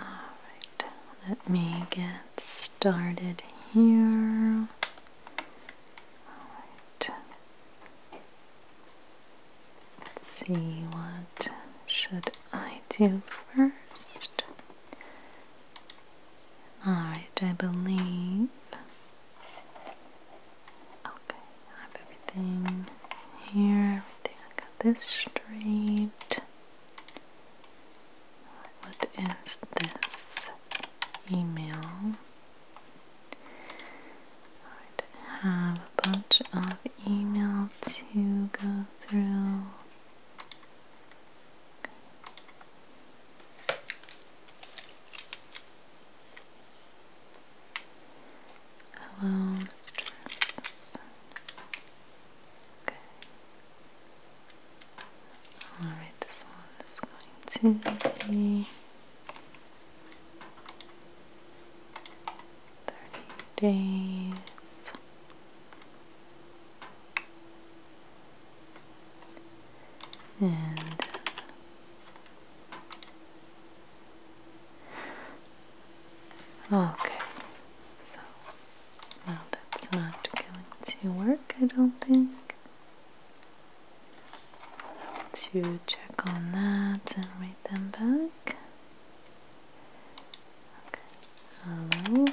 All right, let me get started here. All right. Let's see what should I do first. Alright, I believe Okay, I have everything here, everything I got this straight. What is this email? I have a bunch of email to go through. Hello, Okay. Alright, this one is going to be Thirty days. And okay, so now that's not going to work, I don't think to check on that and write them back. Okay. Hello. Okay.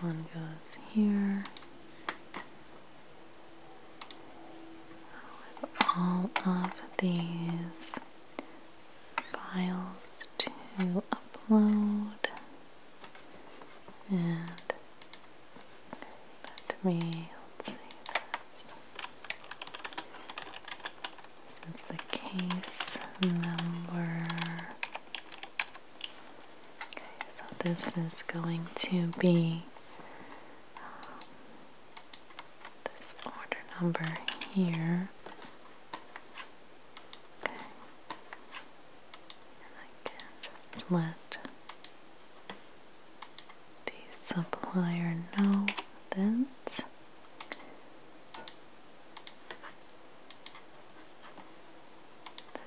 One goes here all of these files to upload and let me see this. is the case number. Okay, so this is going to be um, this order number here. Okay. And just let the supplier know this.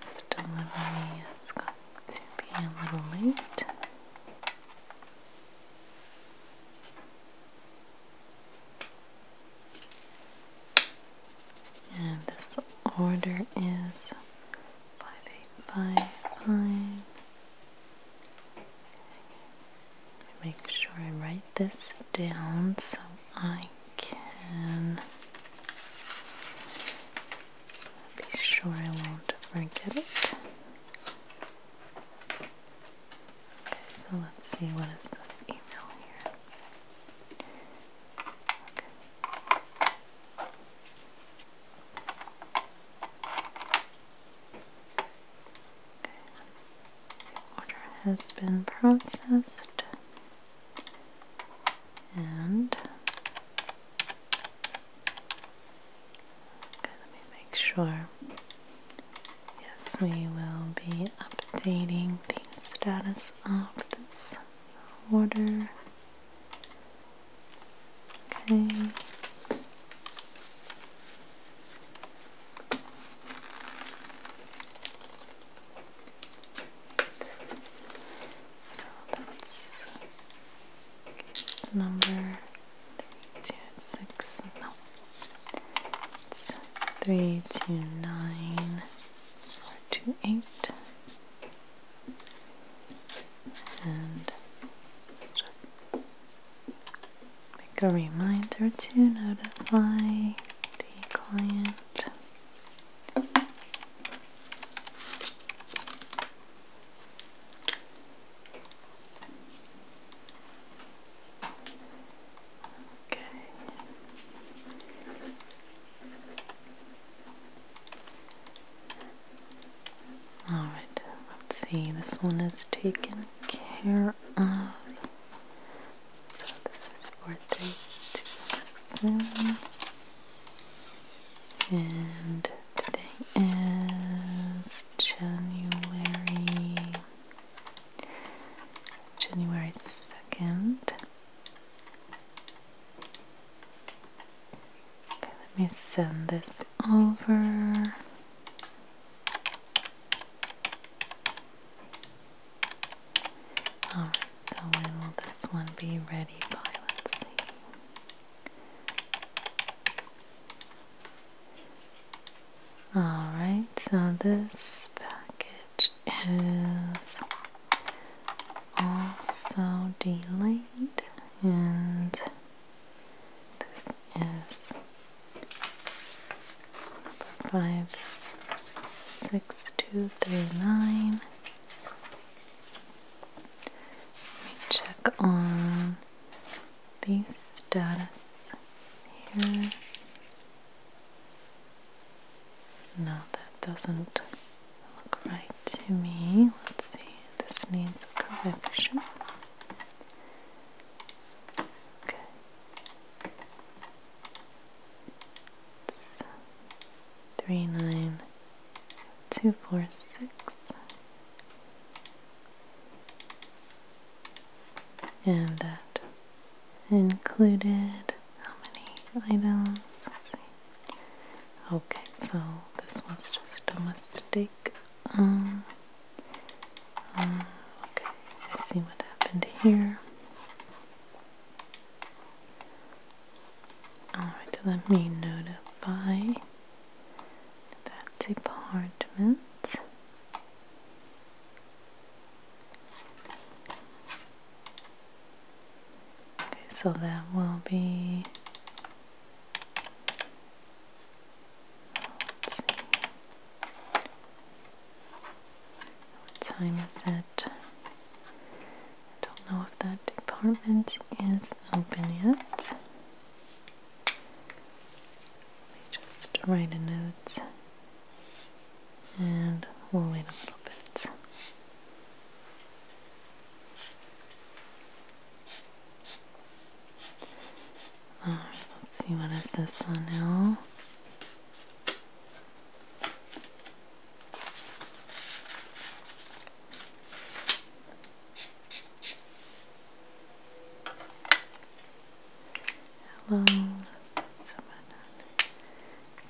This delivery is going to be a little late. And the order is five eight five five. Make sure I write this down so I can be sure I won't forget it. Okay, So let's see, what is this email here? Okay. okay. order has been processed and Okay, let me make sure. Yes, we will be updating the status of this order. Okay. So that's number three, two, six, no. It's three, two, nine, four, two, eight. And just make a reminder to notify the client. Okay. All right, let's see. This one is taken care of. So this is four three two six seven. And today is January January 2nd. Okay, let me send this over. Alright, so when will this one be ready by? Let's see. Alright, so this package is also delayed, and this is five six two three nine. Let me check on these status here. No, that doesn't look right to me. Let's see, this needs correction. Okay. three nine two four six and that included how many items? Let's see. Okay, so this was just a mistake. Um, um, okay, I see what happened here. Alright, let me notify that department. Okay, so that will be. What time is it? don't know if that department is open yet. Let me just write a note and we'll wait a little bit. let's see what is this one now. Hello,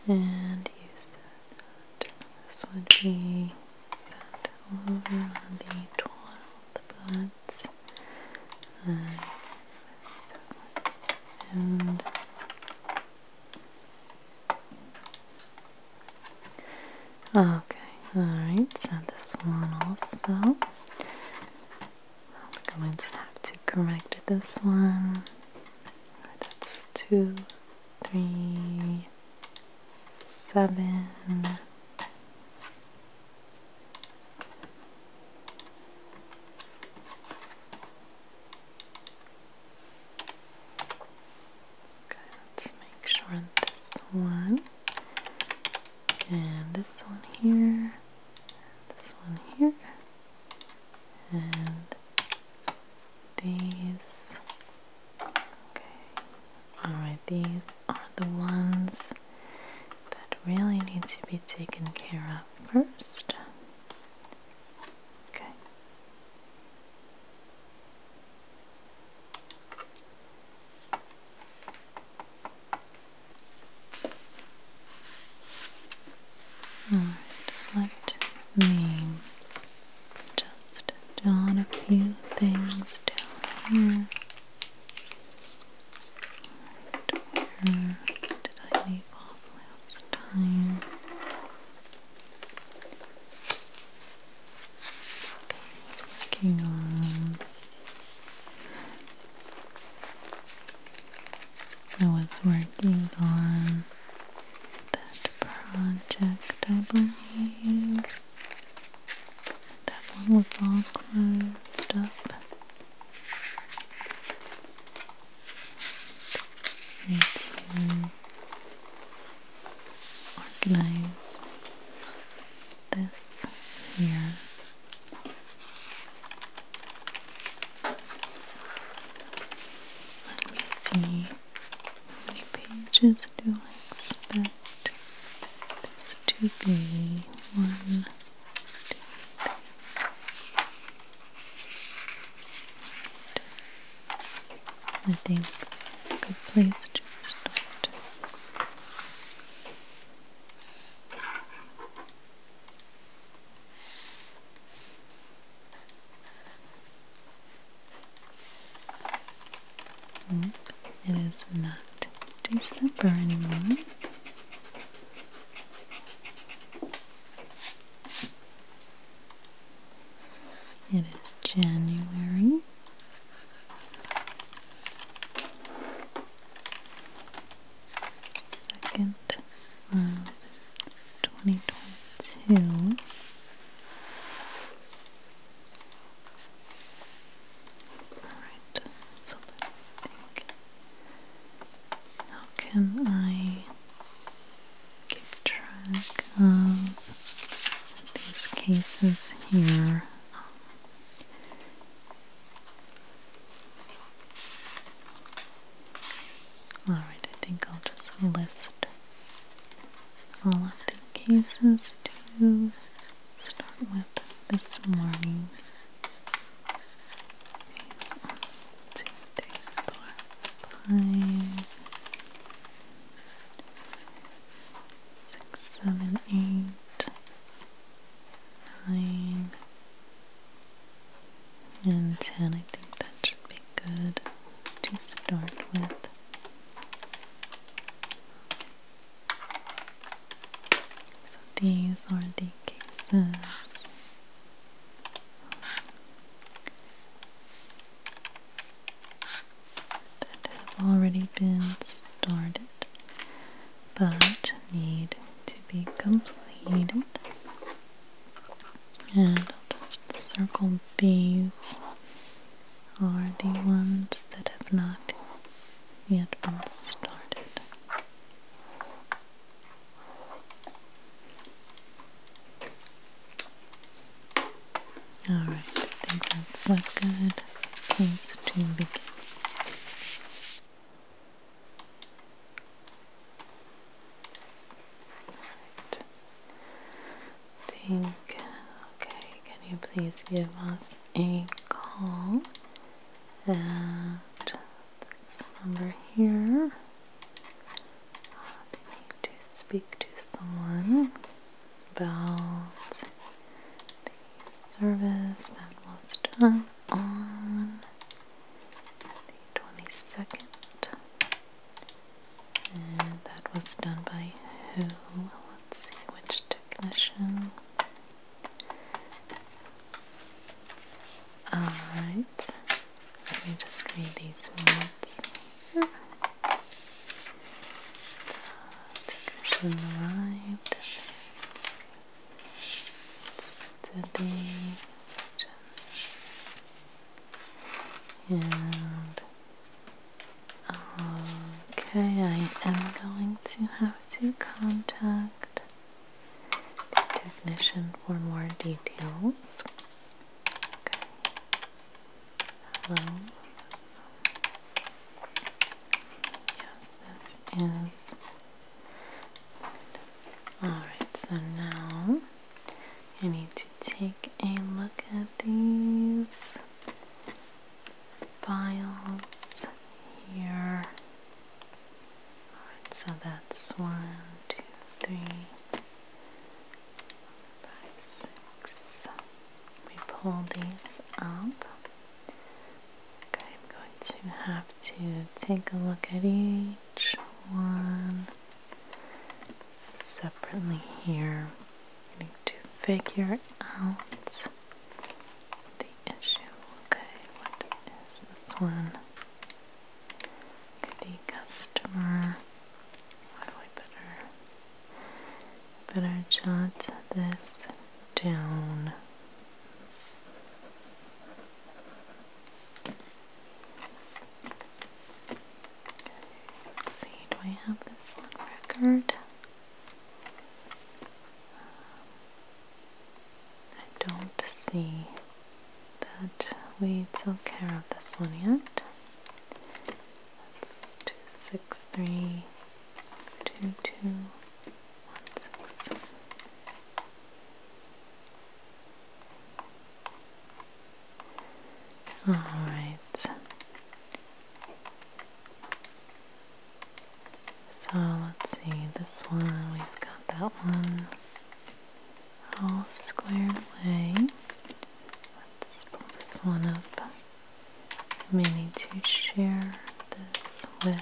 and use This would be sent over on the 12th, but I uh, and Okay, alright, so this one also. I'm going to have to correct this one. That's two, three, seven. Okay, let's make sure this one and this one here, this one here, and these. Okay, alright, these are the ones that really need to be taken care of first. Okay. Alright, let me just dot a few things down here. did I leave off last time? It's working on. I was working on that project, I believe. That one was all closed up. Need to organize this here. Let me see how many pages do I expect this to be? One, I think a good place to start. Nope, mm, it is not December anymore. It is January. Second twenty twenty two. Alright, so I think how can I keep track of these cases here? Alright, I think I'll just list all of the cases to start with this morning. One, two, three, four, five, six, seven, eight nine, and ten. I think that should be good to start with. So these are the cases that have already been started but need to be completed. And I'll just circle these are the ones that have not yet been started. Alright, I think that's a good place to begin. Right. Think, okay, can you please give us a call at this number here? i they need to speak to someone about the service that was done on the 22nd. And that was done by who? Let's see, which technician? Alright, let me just read these notes. Tickers arrived. It's today. And uh, okay, I am going to have to contact the technician for more details. Okay. Hello. Yes, this is Alright, so now I need to take a look at these files here. Alright, so that's one, We pull these up. I'm going to have to take a look at each one separately here. I need to figure out the issue. Okay, what is this one? the customer. How do I better Better jot this down. see, do I have this on record? Um, I don't see that we took care of this one yet. That's two six three two two one six seven. All right. So let's see, this one, we've got that one all squared away. Let's pull this one up. You may need to share this with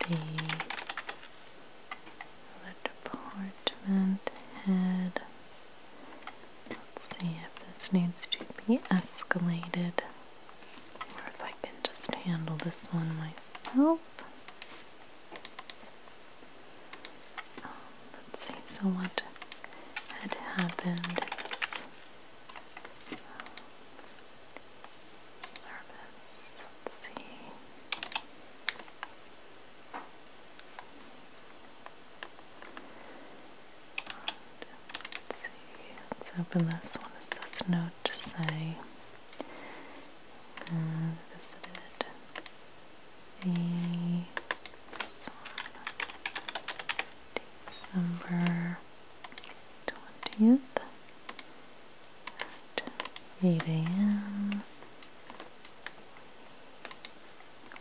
The department head. Let's see if this needs to be escalated or if I can just handle this one myself let's see, so what had happened um, service, let's see. let's open this. What does this note say? Uh, this is it the December 20th at 8 a.m.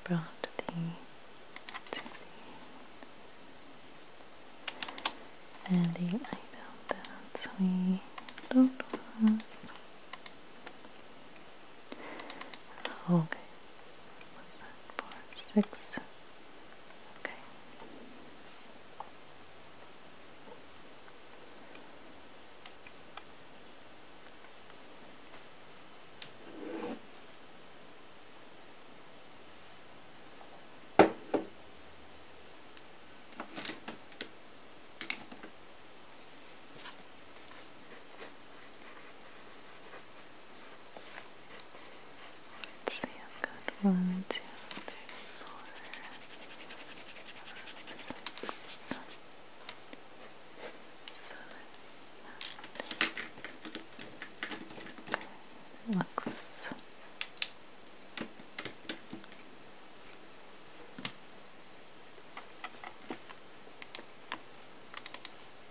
Brought the and the item that we don't was Okay. What's that? Four, six. Okay. Let's see, I've got one, two, three, four, five, six, seven, eight. Looks Right,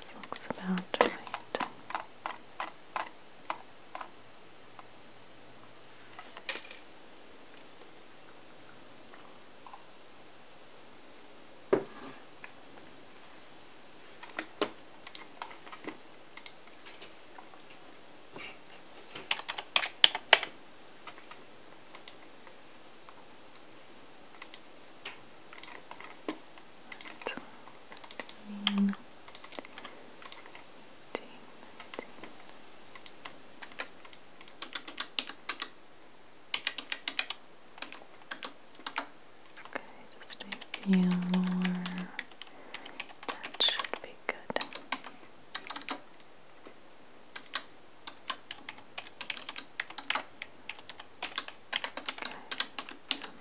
this looks about right. Green. 19, Okay, just a few more. That should be good.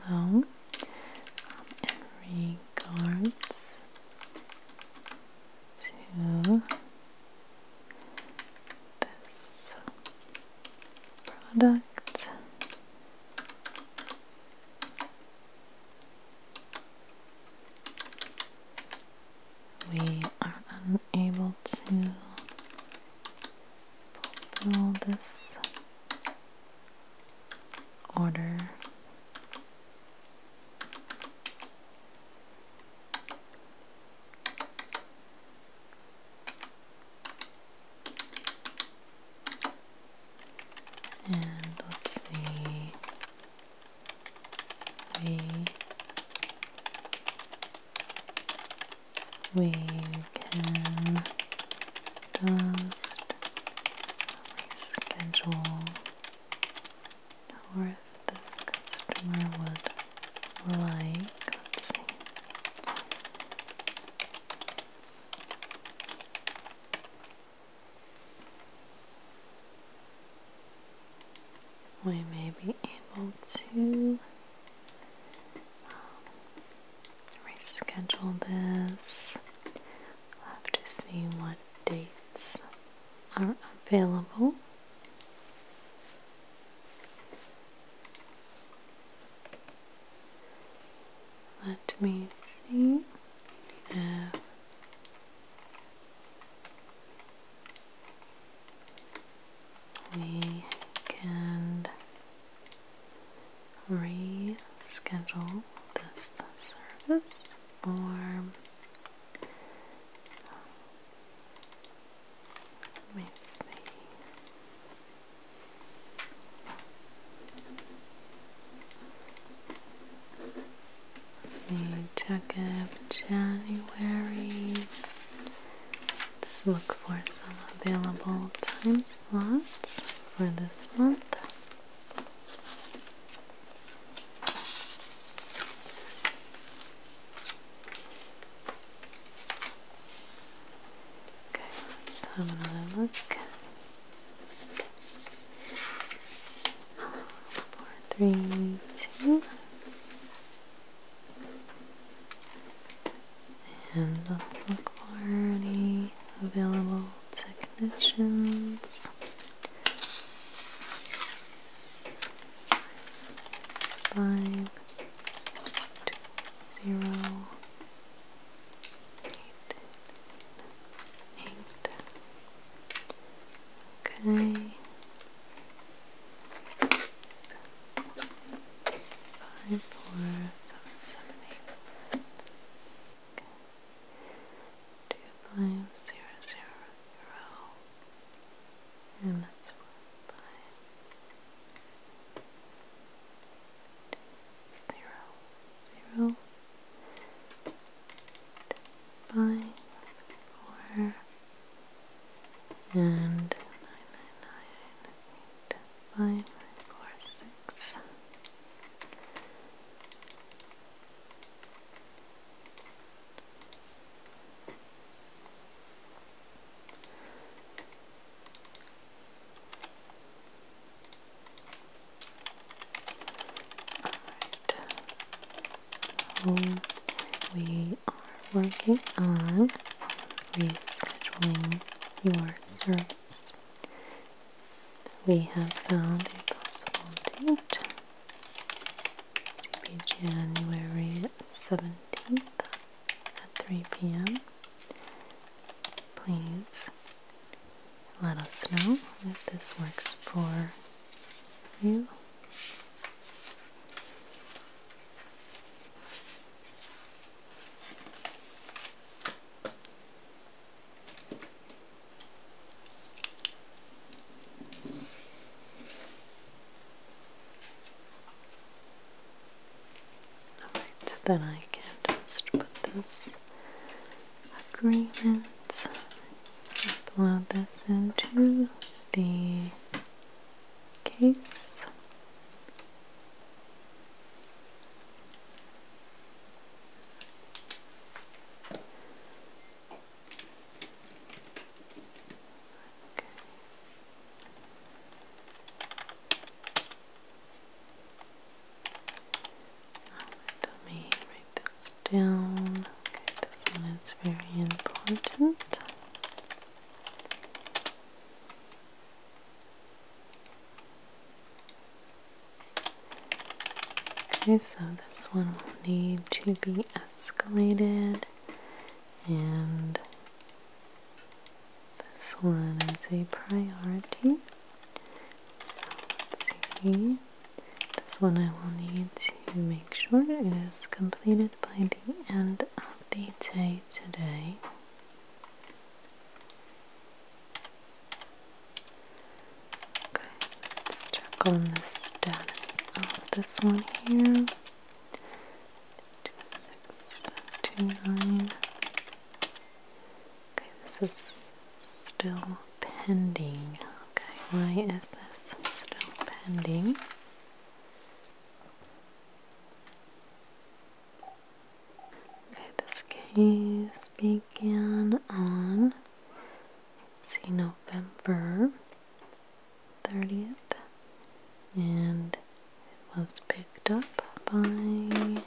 Okay. Um, regards to this product. We are unable to fulfill this order. And let's see we we can just reschedule or the customer would like we may be able to um, reschedule this. have to see what dates are available. Let me see if we can reschedule this service or let me check it. January. Let's look for some available time slots for this month. Okay, let's have another look. Four, three, two, and also clarity available technicians. Five, two, zero, eight, eight, Okay. Five, four, seven, seven, eight. Okay. Two, five, zero, zero, zero. And that's one, five, four, and nine, nine, nine, eight, five, four, six. So um, we are working on rescheduling your service. We have found a possible date to be January 17th at 3 p.m. Please let us know if this works for you. Alright, then I can just put this agreements. Upload this into the case. Let me write this down. Okay, this one is very important. Okay, so this one will need to be escalated, and this one is a priority. So let's see. This one I will need to make sure is completed by the end of the day today. Okay, let's check on the status of this one here. Two, six, two, nine. Okay, this is still pending. Okay, why is this still pending? Okay, this case began on see November 30th and it was picked up by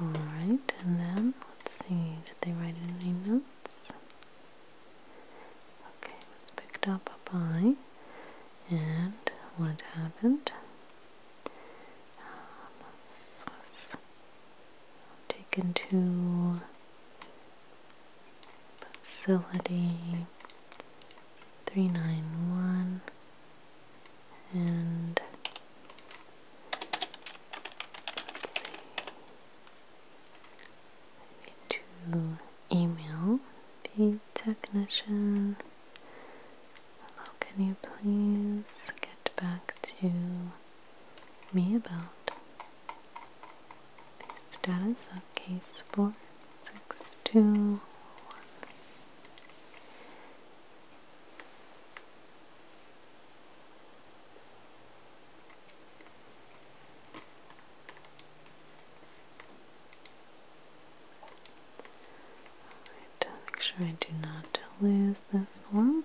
Alright, and then let's see, did they write any notes? Okay, was picked up by, and what happened? this was taken to facility 391 and to email the technician. How can you please get back to me about the status of case 4621? Alright, make sure I do not lose this one.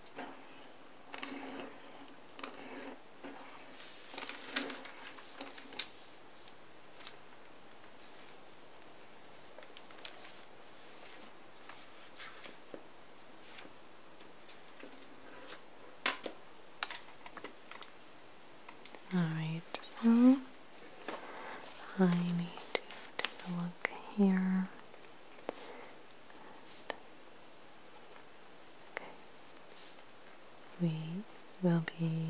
All right, so I need to take a look here. We will be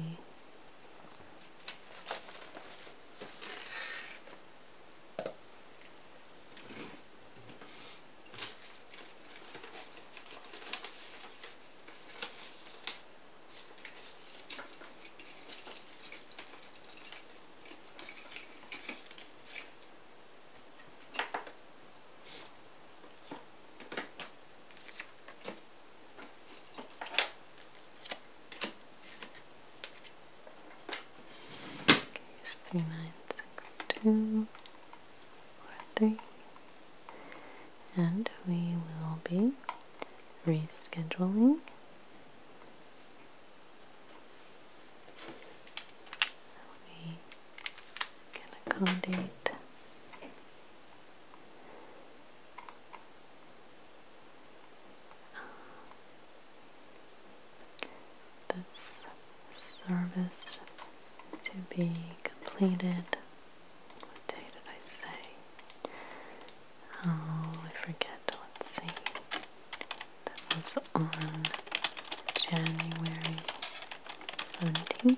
Use three nine six two and we will be rescheduling we can accommodate this service to be completed. What day did I say? Oh, I forget. Let's see that was on January 17th, 3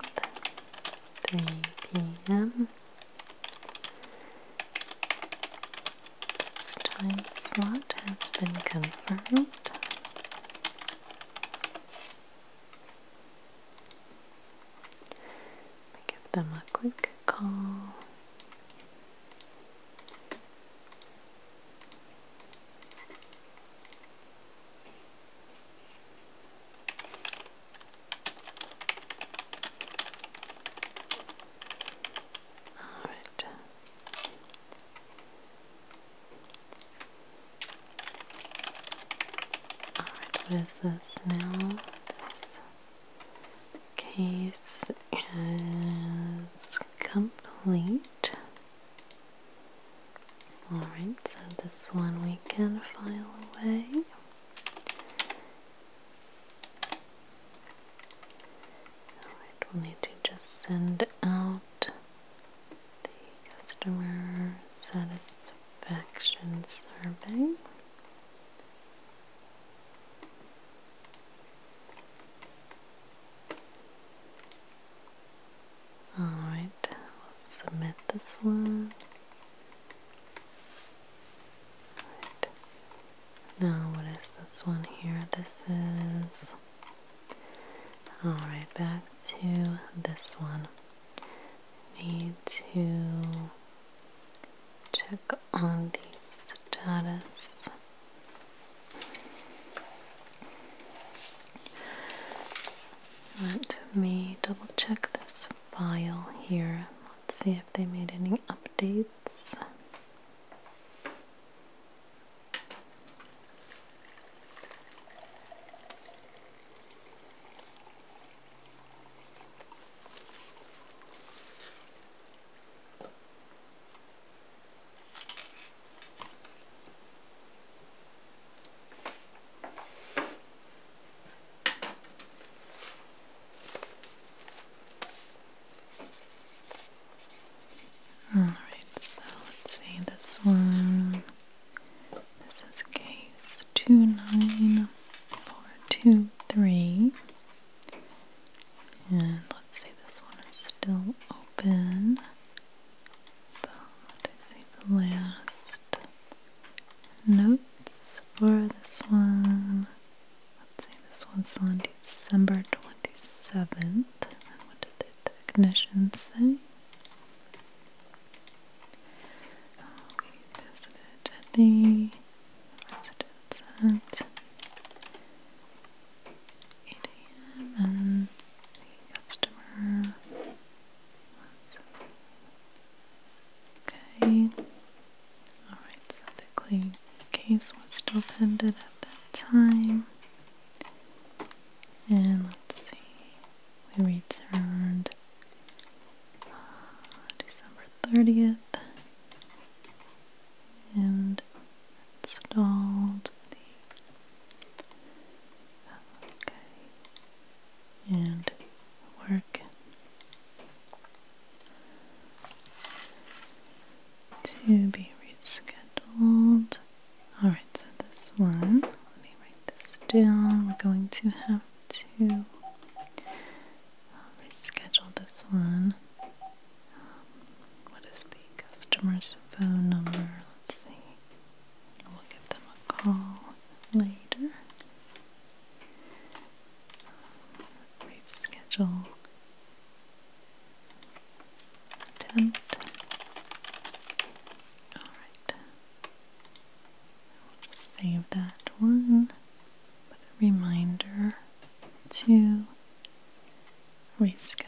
p.m. time slot has been confirmed. Give them a quick call all right. All right, what is this now? case is complete. Alright, so this one we can file away. Alright, will need to just send out the customer satisfaction survey. Alright, submit this one. Now, what is this one here? This is. Alright, back to this one. Need to check on the status. Let me double check this file here. Let's see if they made any updates. All right, so let's see this one. This is case 29423. And let's see, this one is still open. But I see the last notes for this one. Let's see, this one's on December 27th. what did the technician say? We oh, visited the at 8 a.m. and the customer Okay. Alright, so the claim case was still pended at that time. And let's see, we returned uh, December 30th and installed the okay and work to be rescheduled. Alright, so this one, let me write this down. We're going to have to uh, reschedule this one what is the customer's phone number? Let's see. We'll give them a call later. Um, reschedule Alright. will just save that one. Put a reminder to reschedule.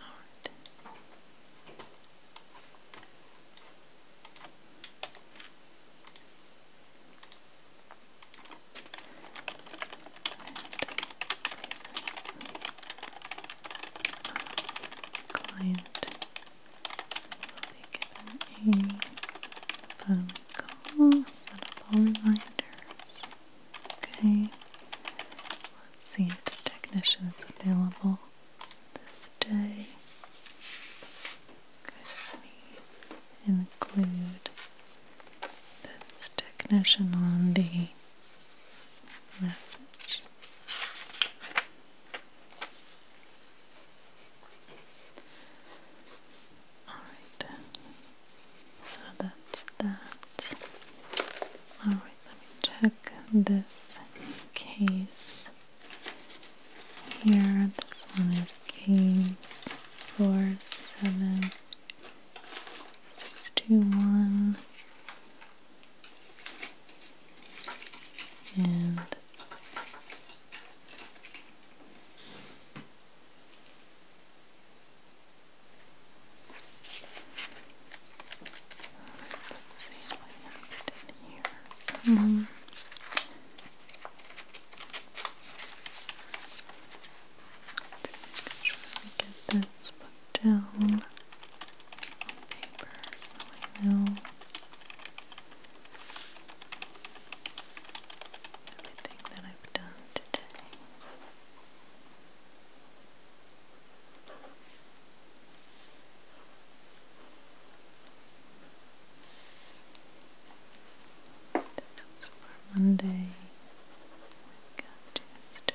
All right. Uh, client will be given phone call, set up all reminders. Okay, let's see if the technician is available this day. Could we include this technician on the message? Alright, so that's that. Alright, let me check this case here. This one is case 47621. And Let's see what happened in here. Let's make sure get this put down on paper so I know everything that I've done today. That's for Monday. we got Tuesday.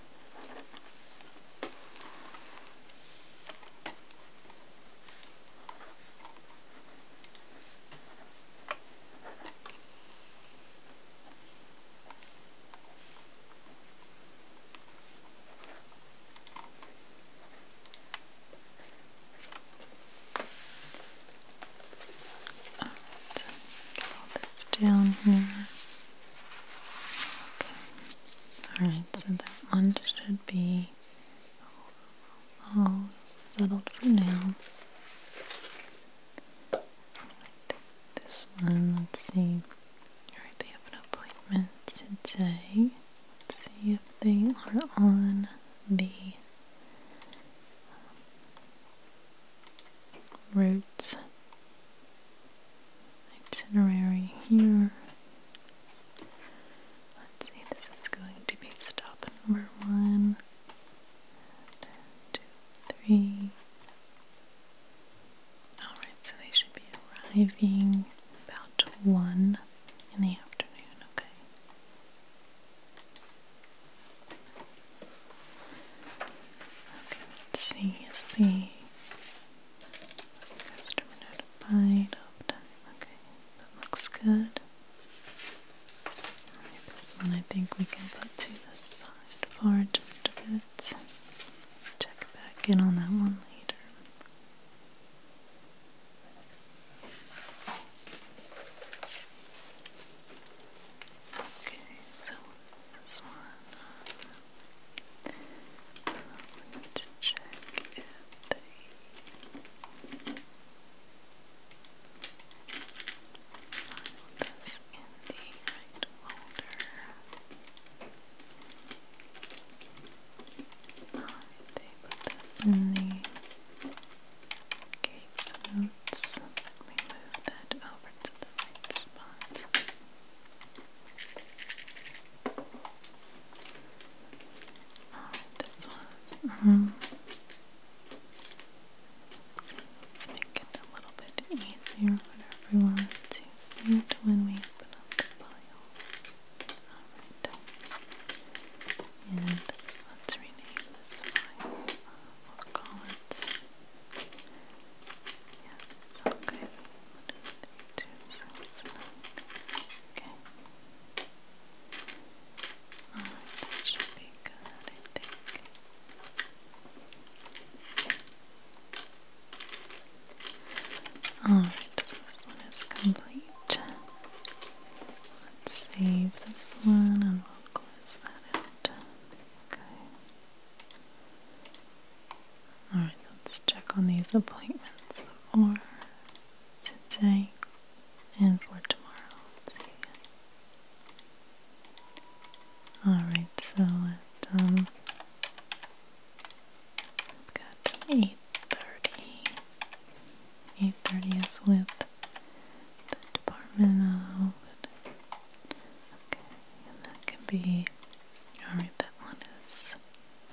All this down here. Okay. Alright, so that one should be all settled for now. this one, let's see. Alright, they have an appointment today. Let's see if they are on the route itinerary here. Let's see, this is going to be stop number one, two, three. Alright, so they should be arriving about one in the afternoon, okay. Okay, let's see, Customer notified, open. Okay, that looks good. this one I think we can put to the side for just a bit. Check back in on that one later. Okay, so this one. I'm to check if they filed this in the right folder. they put this in the case Let me move that over to the right spot. Alright, this one. Mm-hmm. Let's make it a little bit easier for everyone to see it when we open up the pile. Alright. And let's rename this pile. We'll call it. Yeah, it's all good. Okay. Alright, that should be good, I think. Alright, so this one complete. Let's save this one and we'll close that out. Okay. Alright, let's check on these appointments for today and for tomorrow. Alright, so at we've um, got eight thirty. Eight thirty is with the Department of Okay, and that can be Alright, that one is.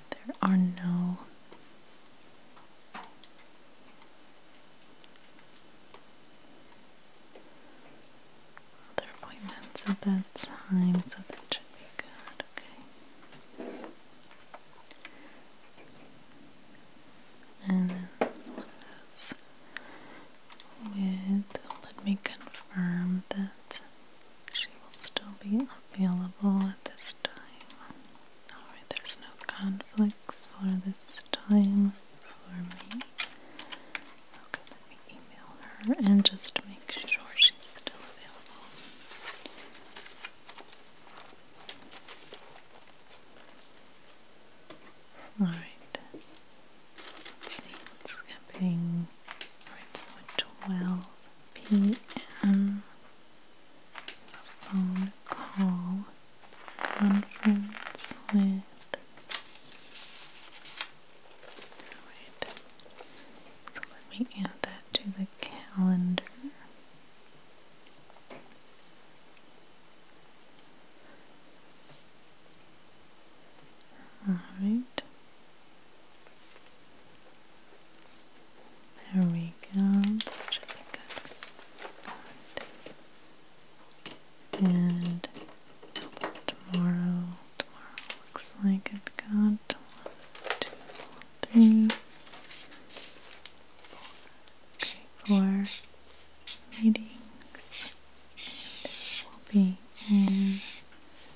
There are no. Other appointments at that time, so that should be good. Okay. And this one is with. Let me confirm that she will still be available at this time. Alright, there's no conflicts for this time for me. Okay, let me email her and just make sure she's still available. Alright, it's camping. Alright, so 12 p.m. phone call conference with. Alright, so let me add that to the calendar. All right. There we go. And tomorrow, tomorrow looks like I've got one, two, three, meetings. And will be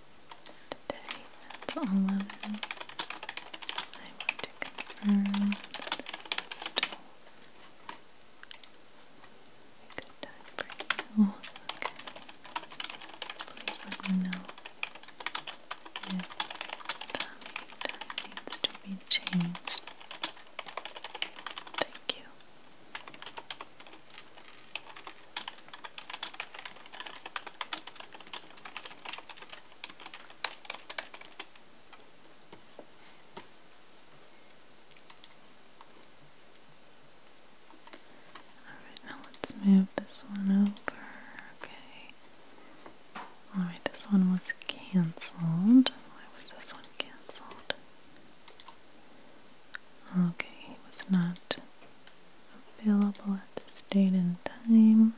today at 11. I want to confirm still a good time for you. Okay. Please let me know if the time needs to be changed. Thank you. Alright, now let's move this one over. Okay. Alright, this one was cancelled. Why was this one cancelled? Okay, was not available at this date and time.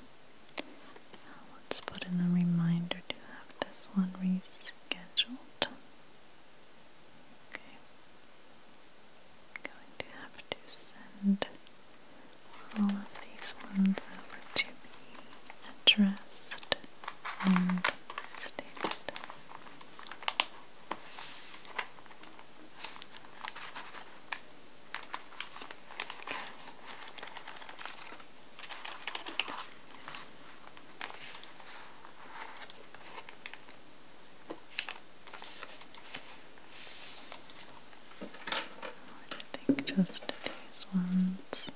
Let's put in a reminder to have this one rescheduled. Okay. going to have to send all of these ones over to be addressed and stated. I think just these ones.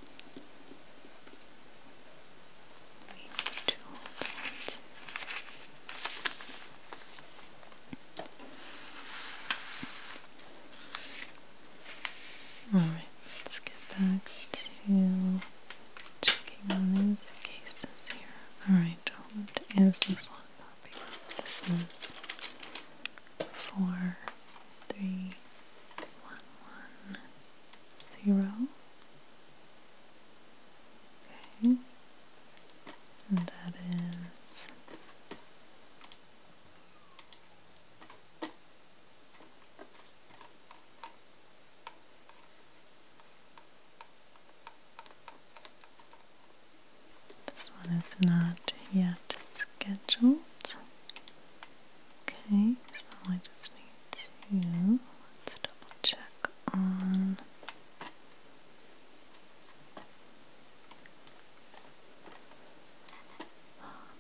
Alright, let's get back to checking on these cases here. Alright, what is this one This is four three one one zero Okay. And that is this one is not yet scheduled. Okay, so I just need to let's double check on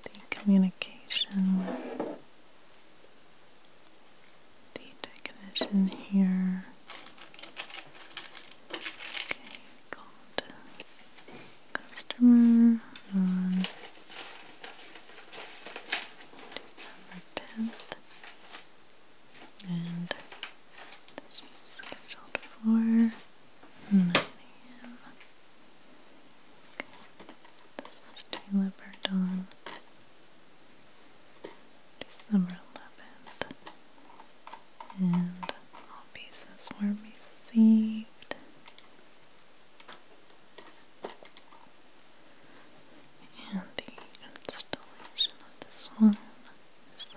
the communication the technician here. Okay, called customer on December 10th and this was scheduled for 9 a.m. Okay. This was Taylor Burdon, December 11th, and all pieces were received and the installation of this one is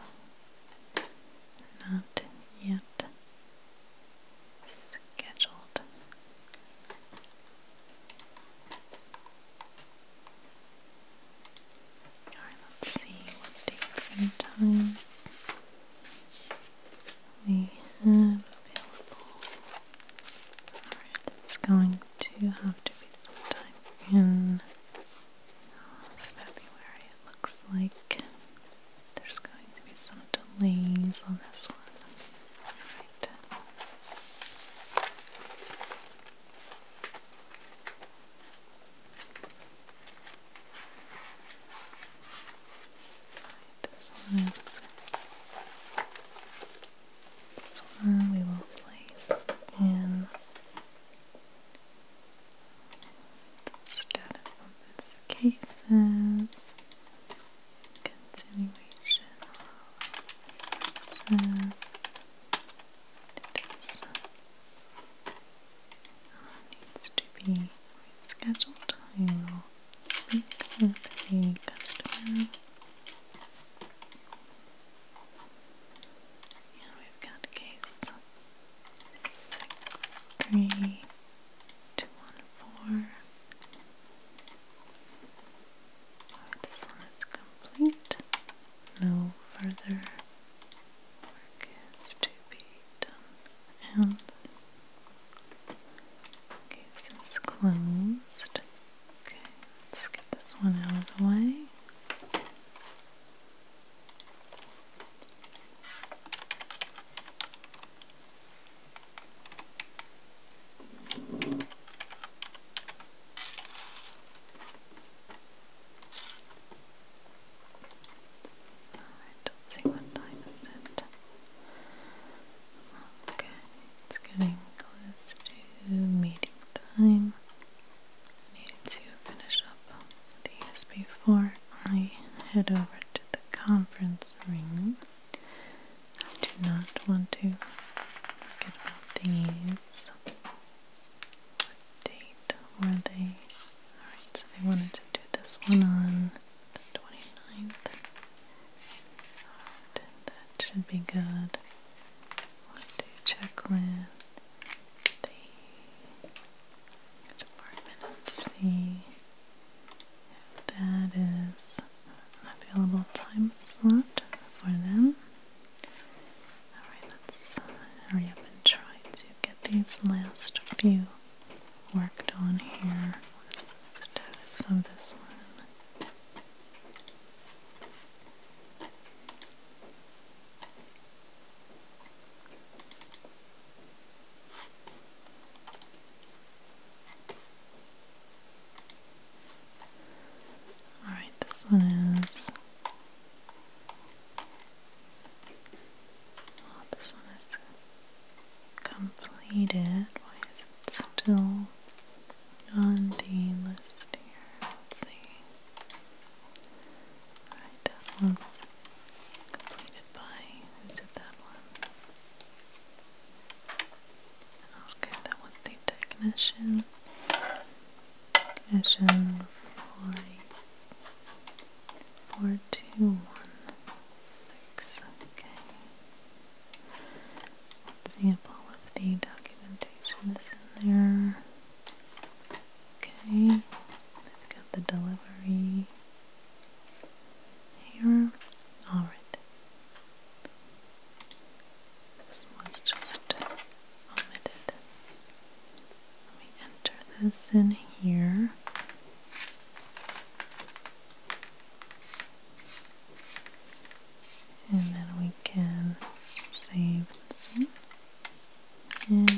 not yet scheduled. Alright, let's see what dates and time we have available. Alright, it's going to have to sometime in February it looks like there's going to be some delays on this one. Right, this one this one we will place in status of cases, continuation of process, needs to be rescheduled. We will speak with the customer. And we've got case six, three, two, one, four. Oh, this one is complete. No further work is to be done. And case is closed. Okay, let's get this one out of the way. Alright, let's see what time is it. Okay. It's getting close to meeting time. I need to finish up these before I head over to the conference room. I do not want to forget about these. What date were they? Alright, so they wanted to do this one on the 29th. And should be good. What do you check with the department and see if that is an available time slot for them? Alright, let's hurry up and try to get these last few worked on here. What is this one? All right, this one is. Oh, this one is completed. Why is it still on the list here. let that one's completed by who did that one? Okay, that was the technician. Technician forty four two one six. Okay example of the documentation is in there. Okay, I've got the delivery here. Alright. This one's just omitted. Let me enter this in here and then we can save this one and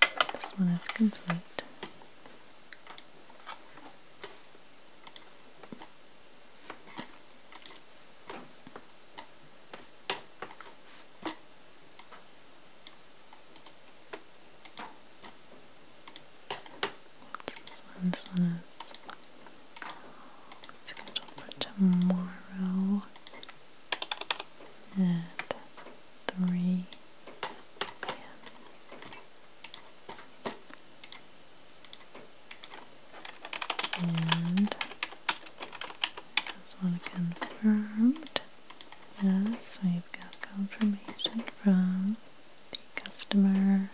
this one is complete This one is scheduled for tomorrow at 3 And this one confirmed. Yes, we've got confirmation from the customer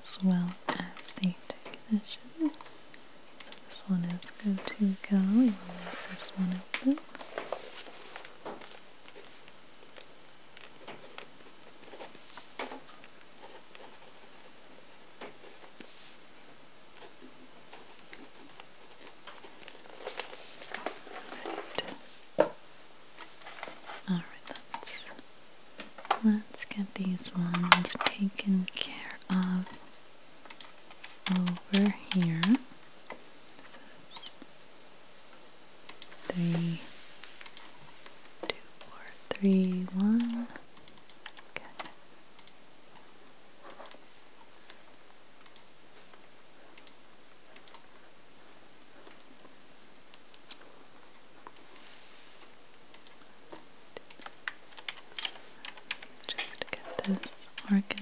as well as the technician. This one is go to go. We will leave this one open. Right. Alright, let's let's get these ones taken care of over here. three, two, four, three, one. Okay. Just get this organized.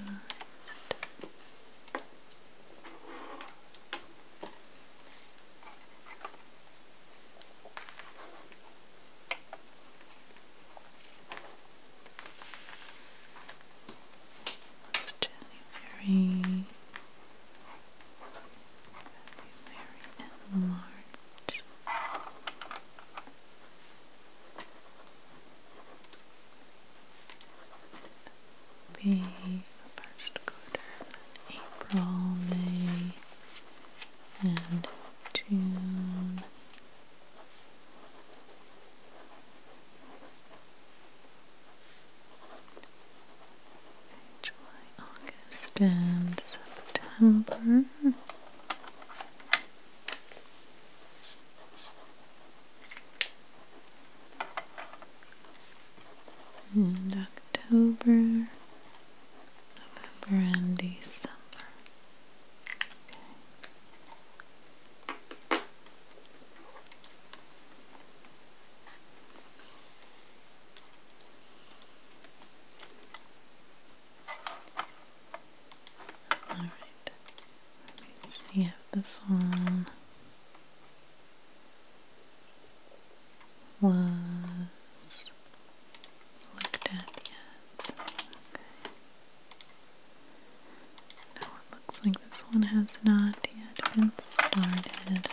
It's January. February and March be the first quarter, April, May, and June. July, August, and September. And October, November, and December. Okay. Alright, let me see if this one was looked at yet. Okay. looks like this one has not yet been started.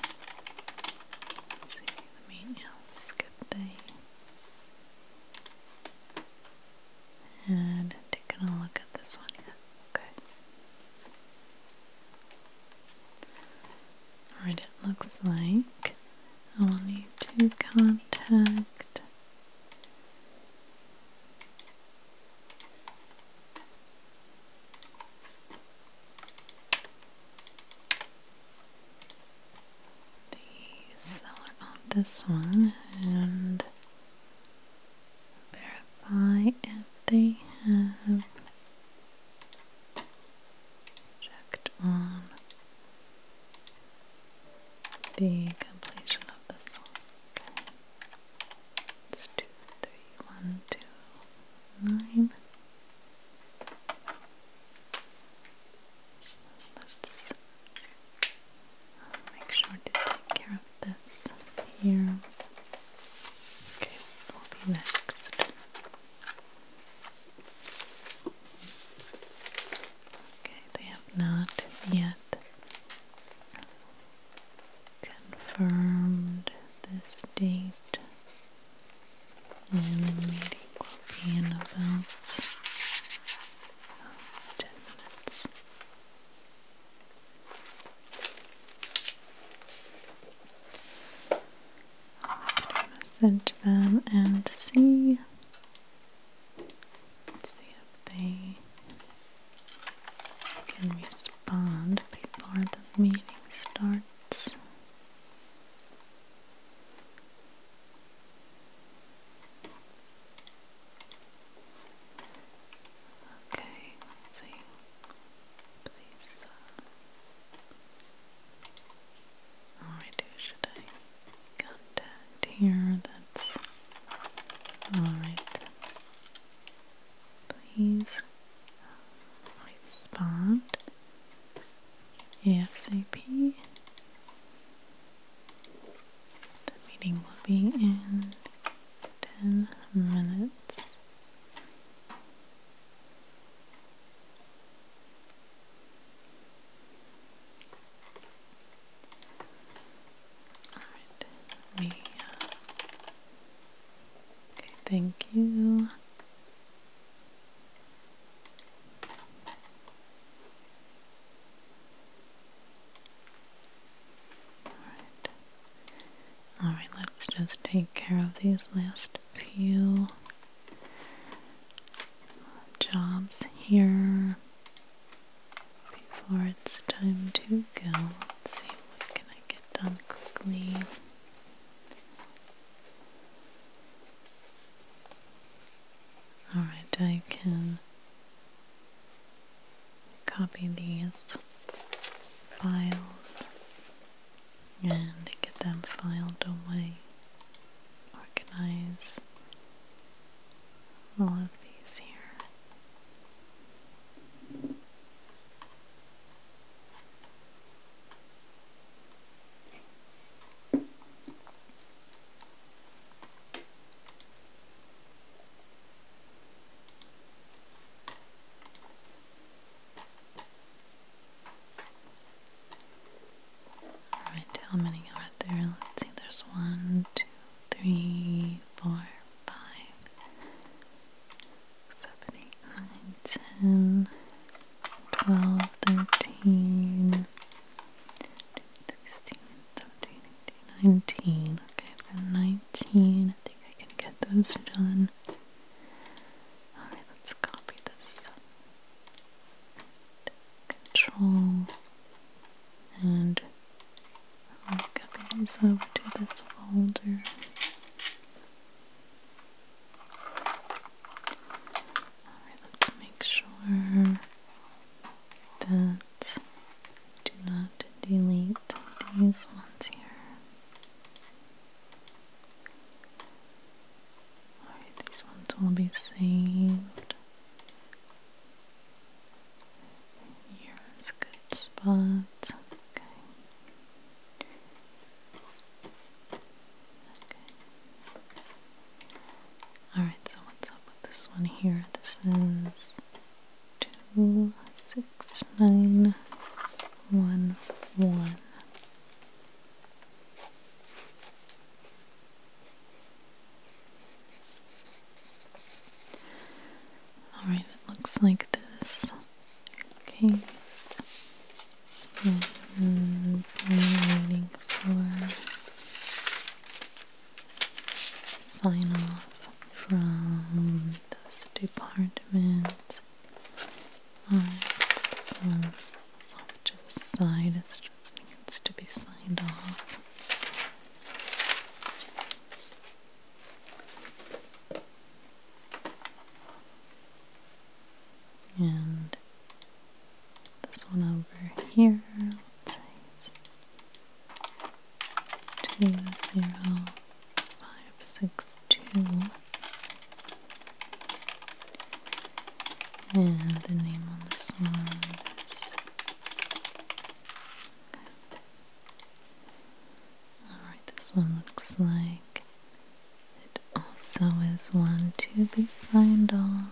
see, let me you know, skip and taking a look at this one Okay. Alright, it looks like I will need to contact the seller of this one and verify if they have checked on the completion of this one. Okay. It's two, three, one, two, nine let's make sure to take care of this here. Okay, what will be next? Okay, they have not yet confirmed this date and the meeting will be in about 10 minutes. I'm going to send them and see, let see if they can respond before the meeting starts. Okay, let's see. Please. all right, should I contact here? That's all right. Please respond ASAP. The meeting will be in 10 minutes. Alright, we. okay, thank you. Alright. Alright, let's just take care of these last few jobs here before it's time to go. see what can I get done quickly. Alright, I can copy these files and get them filed away, organize all of these here. Alright, how many are there? Let's see, there's one, two, three, four, five, seven, eight, nine, ten, 12, 13, 19. Okay, I've got 19. I think I can get those done. Alright, let's copy this. Control and copy these over to this folder let's make sure that I do not delete these ones here. Alright, these ones will be saved. Here's a good spot. Okay. Alright, so what's up with this one here? This is two six nine one one. Alright, it looks like this case and I'm waiting for sign off from this department. Alright, off to the side, it just needs to be signed off. And this one over here. What size? Two zero five six two. And the name on this one is Alright, this one looks like also is one to be signed off.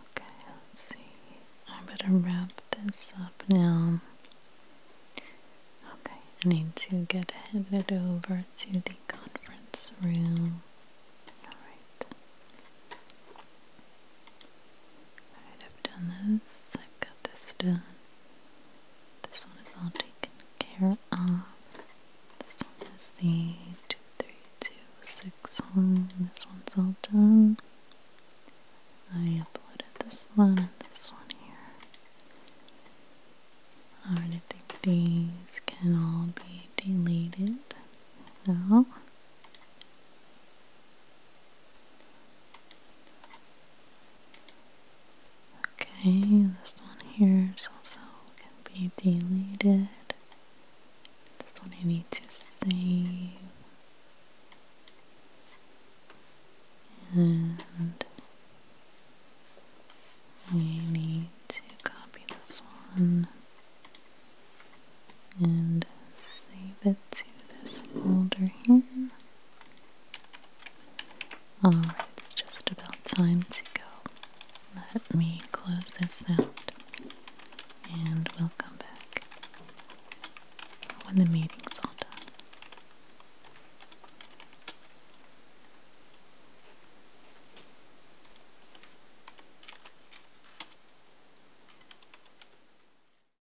Okay, let's see. I better wrap this up now. Okay, I need to get headed over to the conference room. Alright. I've done this. I've got this done. This one is all taken care of. This one is the 2326 This one's all done. I uploaded this one and this one here. Alright, I think these can all be deleted now. Okay, this one here is also can be deleted. This one I need to save. And we need to copy this one and save it to this folder here. Alright, oh, it's just about time to go. Let me close this out and we'll come back when the meeting's all done.